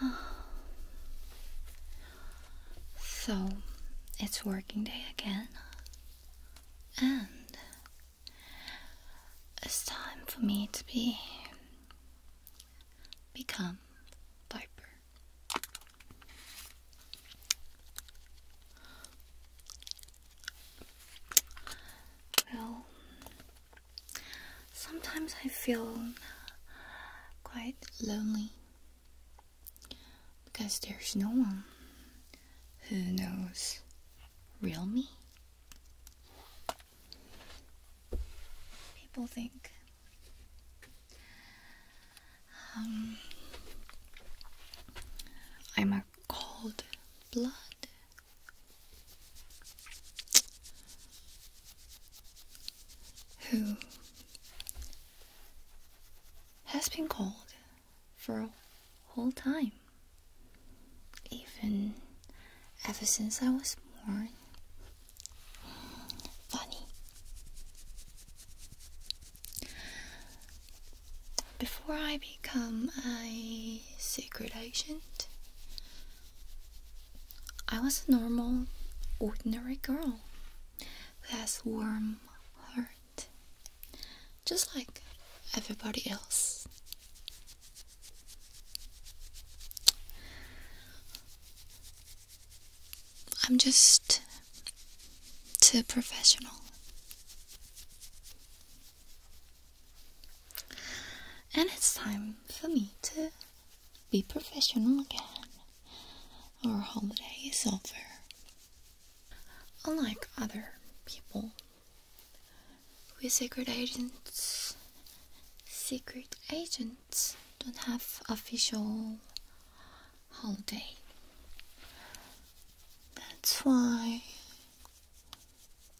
So, it's working day again, and it's time for me to be become Viper. Well, Sometimes I feel quite lonely because there's no one who knows real me. People think um, I'm a cold blood who has been called for a whole time, even ever since I was born. Funny. Before I become a secret agent, I was a normal, ordinary girl who has warm heart, just like everybody else. I'm just too professional. And it's time for me to be professional again. Our holiday is over. Unlike other people, we secret agents, secret agents don't have official holiday. That's why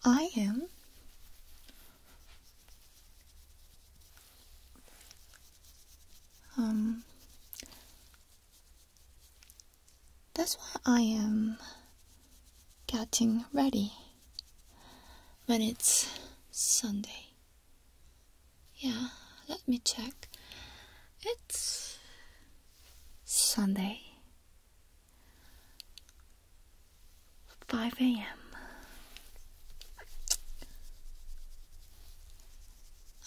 I am um, that's why I am getting ready when it's Sunday. Yeah, let me check. It's Sunday. 5 a.m.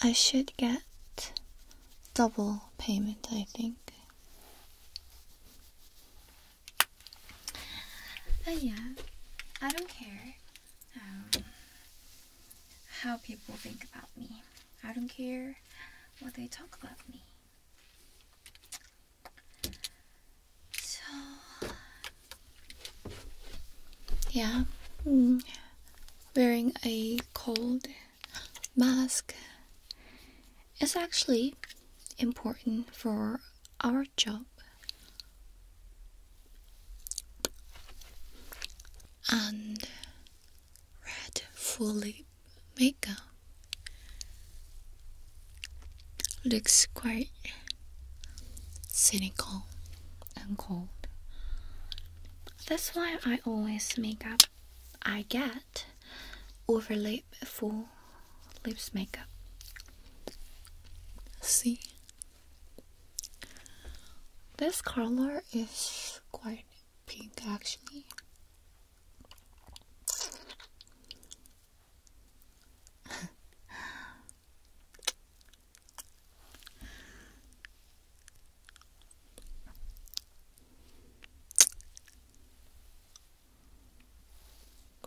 I should get double payment, I think. But yeah, I don't care um, how people think about me. I don't care what they talk about me. So, yeah, mm, wearing a cold mask is actually important for our job. And red full lip makeup looks quite cynical and cold. That's why I always make up. I get overlay full lips makeup. See? This color is quite pink actually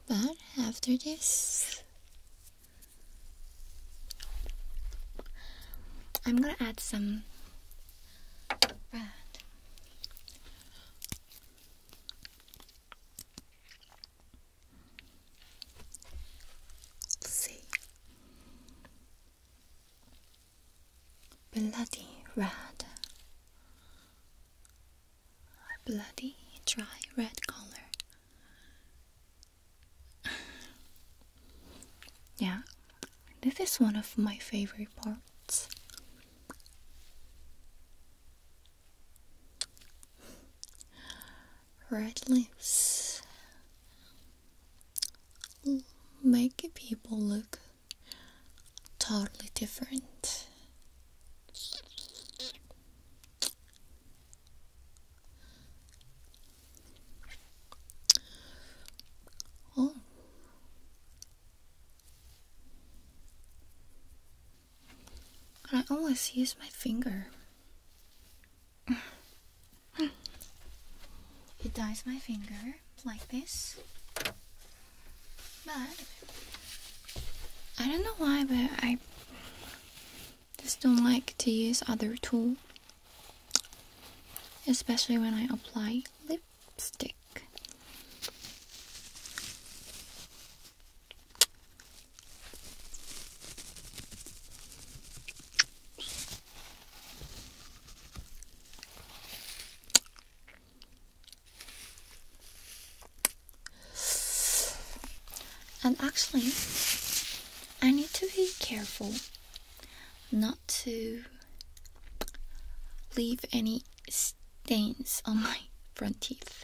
but after this, I'm gonna add some bread. See, bloody red, bloody dry red color. yeah, this is one of my favorite parts. Red lips make people look totally different. Oh. I always use my finger. it dyes my finger like this. But I don't know why, but I just don't like to use other tool. Especially when I apply lipstick. And actually, I need to be careful not to leave any stains on my front teeth.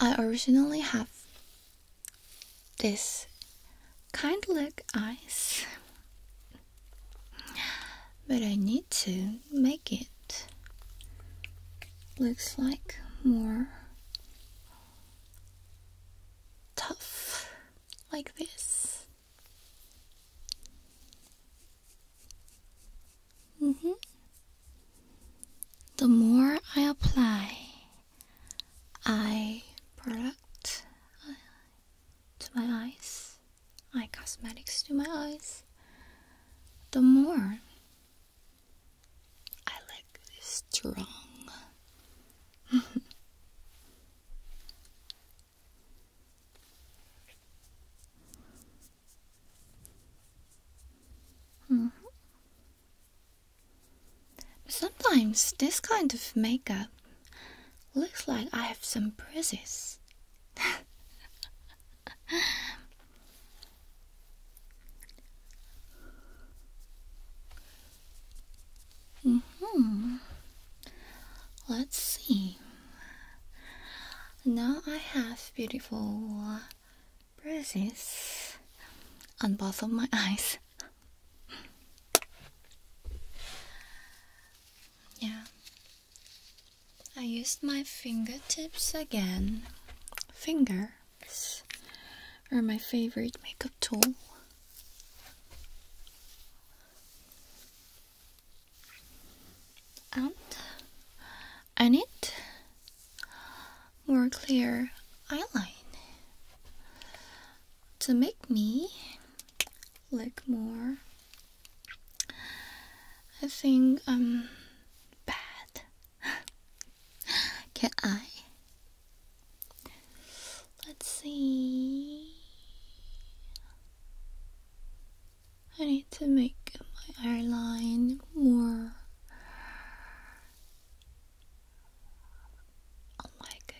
I originally have this kind of look eyes, but I need to make it looks like more tough like this. Mm-hmm. The more I apply, eye product uh, to my eyes, eye cosmetics to my eyes, the more I like strong. Hmm. sometimes this kind of makeup looks like I have some bruises. Hmm. Let's see. Now I have beautiful bruises on both of my eyes. yeah. I used my fingertips again. Fingers are my favorite makeup tool and I need more clear eyeliner to make me look more I think um, bad can I let's see I need to make my airline more like a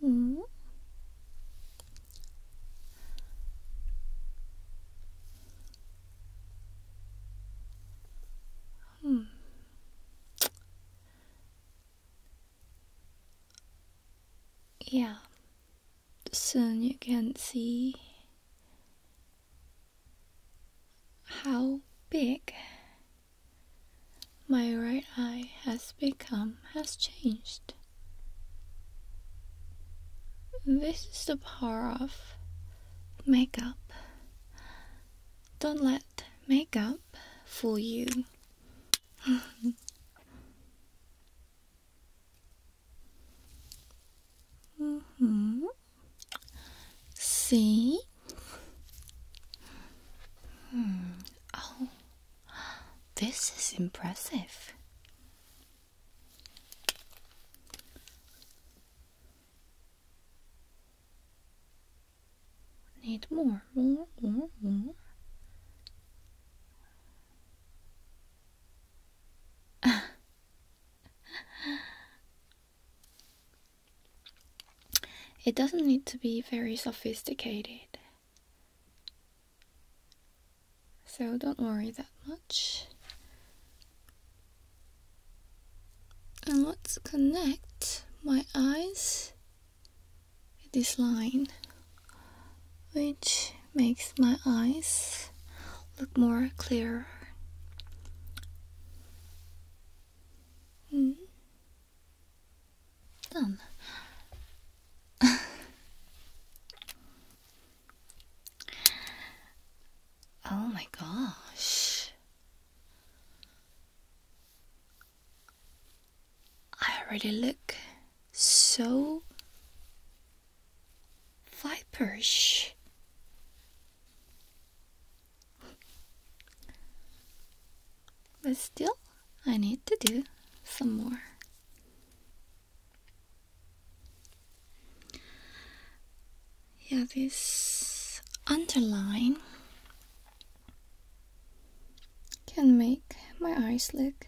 Hmm. Hmm yeah, soon you can see how big my right eye has become, has changed. This is the power of makeup. Don't let makeup fool you mm -hmm. See? Hmm. Oh, this is impressive. Need more, more, more, more. it doesn't need to be very sophisticated. So don't worry that much. And let's connect my eyes this line which makes my eyes look more clear. Hmm. Done. oh my gosh. I already look so viperish. But still, I need to do some more. Yeah, this underline can make my eyes look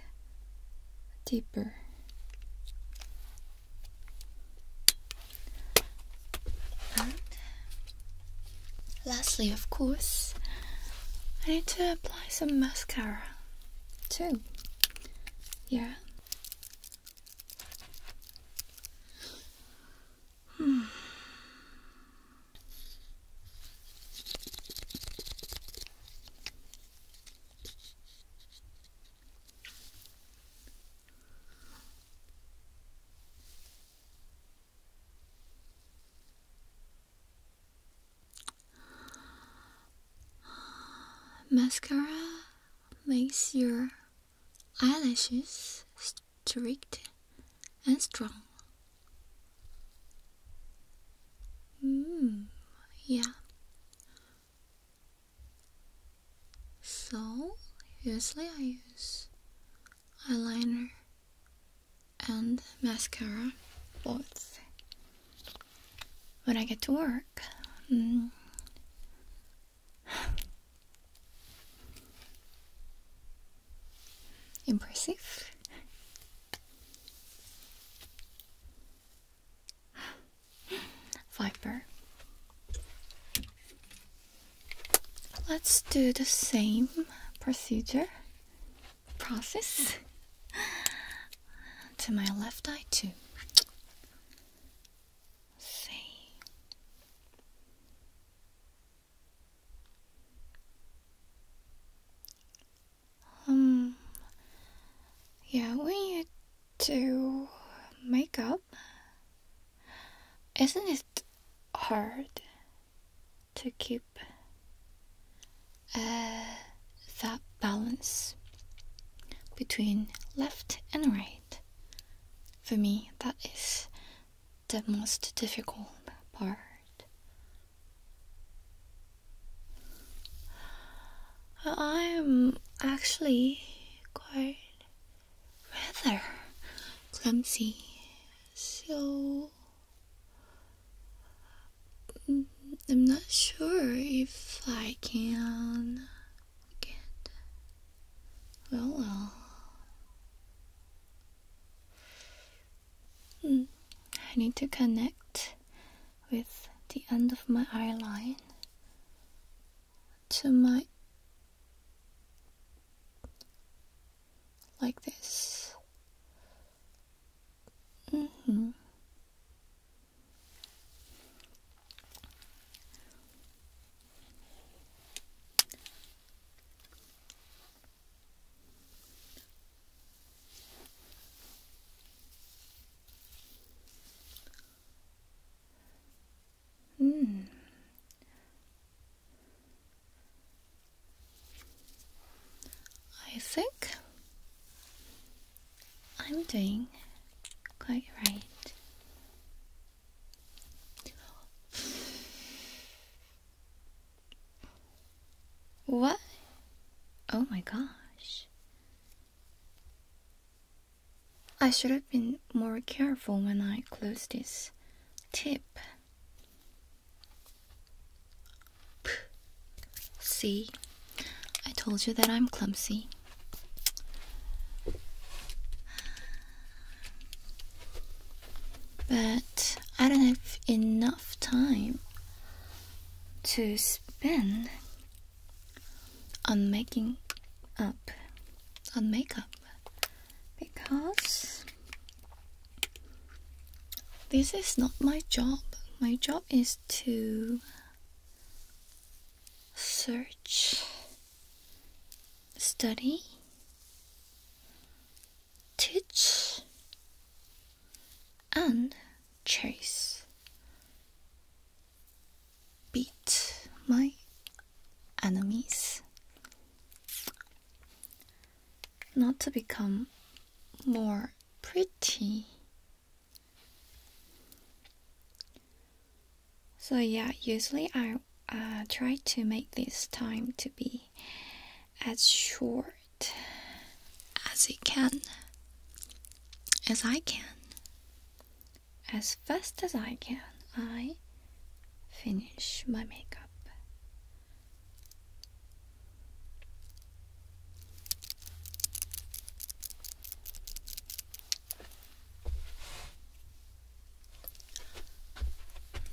deeper. lastly, of course, I need to apply some mascara too. Yeah. Hmm. Mascara makes your eyelashes strict and strong. Mm, yeah. So, usually I use eyeliner and mascara, both. When I get to work, mm. impressive. Viper. Let's do the same procedure, process to my left eye too. See. Um, yeah, when you do makeup, isn't it hard to keep uh, that balance between left and right? For me, that is the most difficult part I'm actually quite rather clumsy, so I'm not sure if I can get well. well. Hmm. I need to connect with the end of my eye line to my like this. Mm -hmm. Mm. I think I'm doing quite right. What? Oh my gosh. I should have been more careful when I closed this tip. See, I told you that I'm clumsy. But I don't have enough time to spend on making up on makeup because this is not my job. My job is to search, study, teach and chase beat my enemies not to become more pretty so yeah usually i uh, try to make this time to be as short as it can, as I can, as fast as I can. I finish my makeup.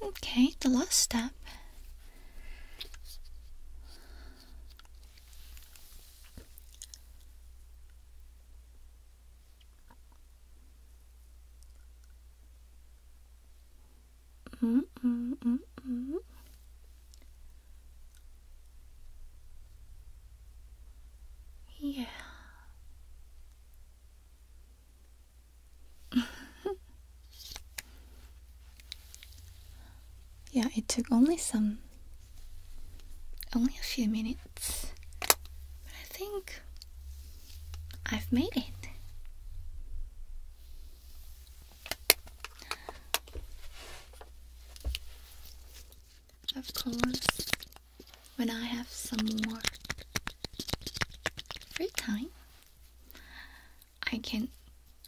Okay, the last step Mm -mm -mm yeah. Yeah, it took only some, only a few minutes, but I think I've made it. Of course, when I have some more free time, I can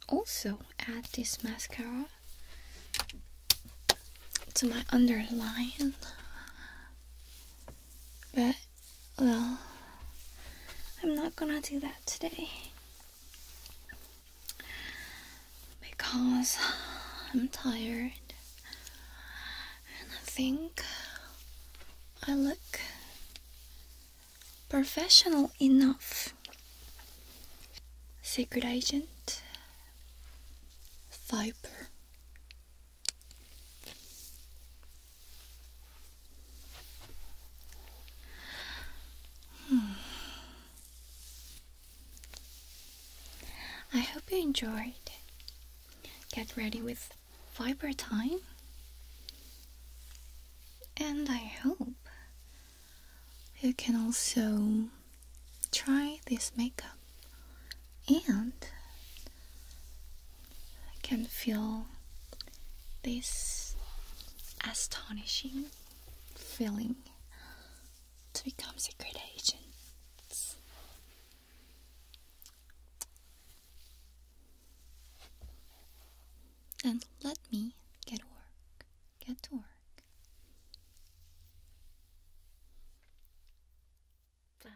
also add this mascara to my underline but well I'm not gonna do that today because I'm tired and I think I look professional enough. Secret agent, viper. Hmm. I hope you enjoyed. Get ready with viper time. And I hope you can also try this makeup and can feel this astonishing feeling to become secret agent. And let me get to work. Get to work. Bye.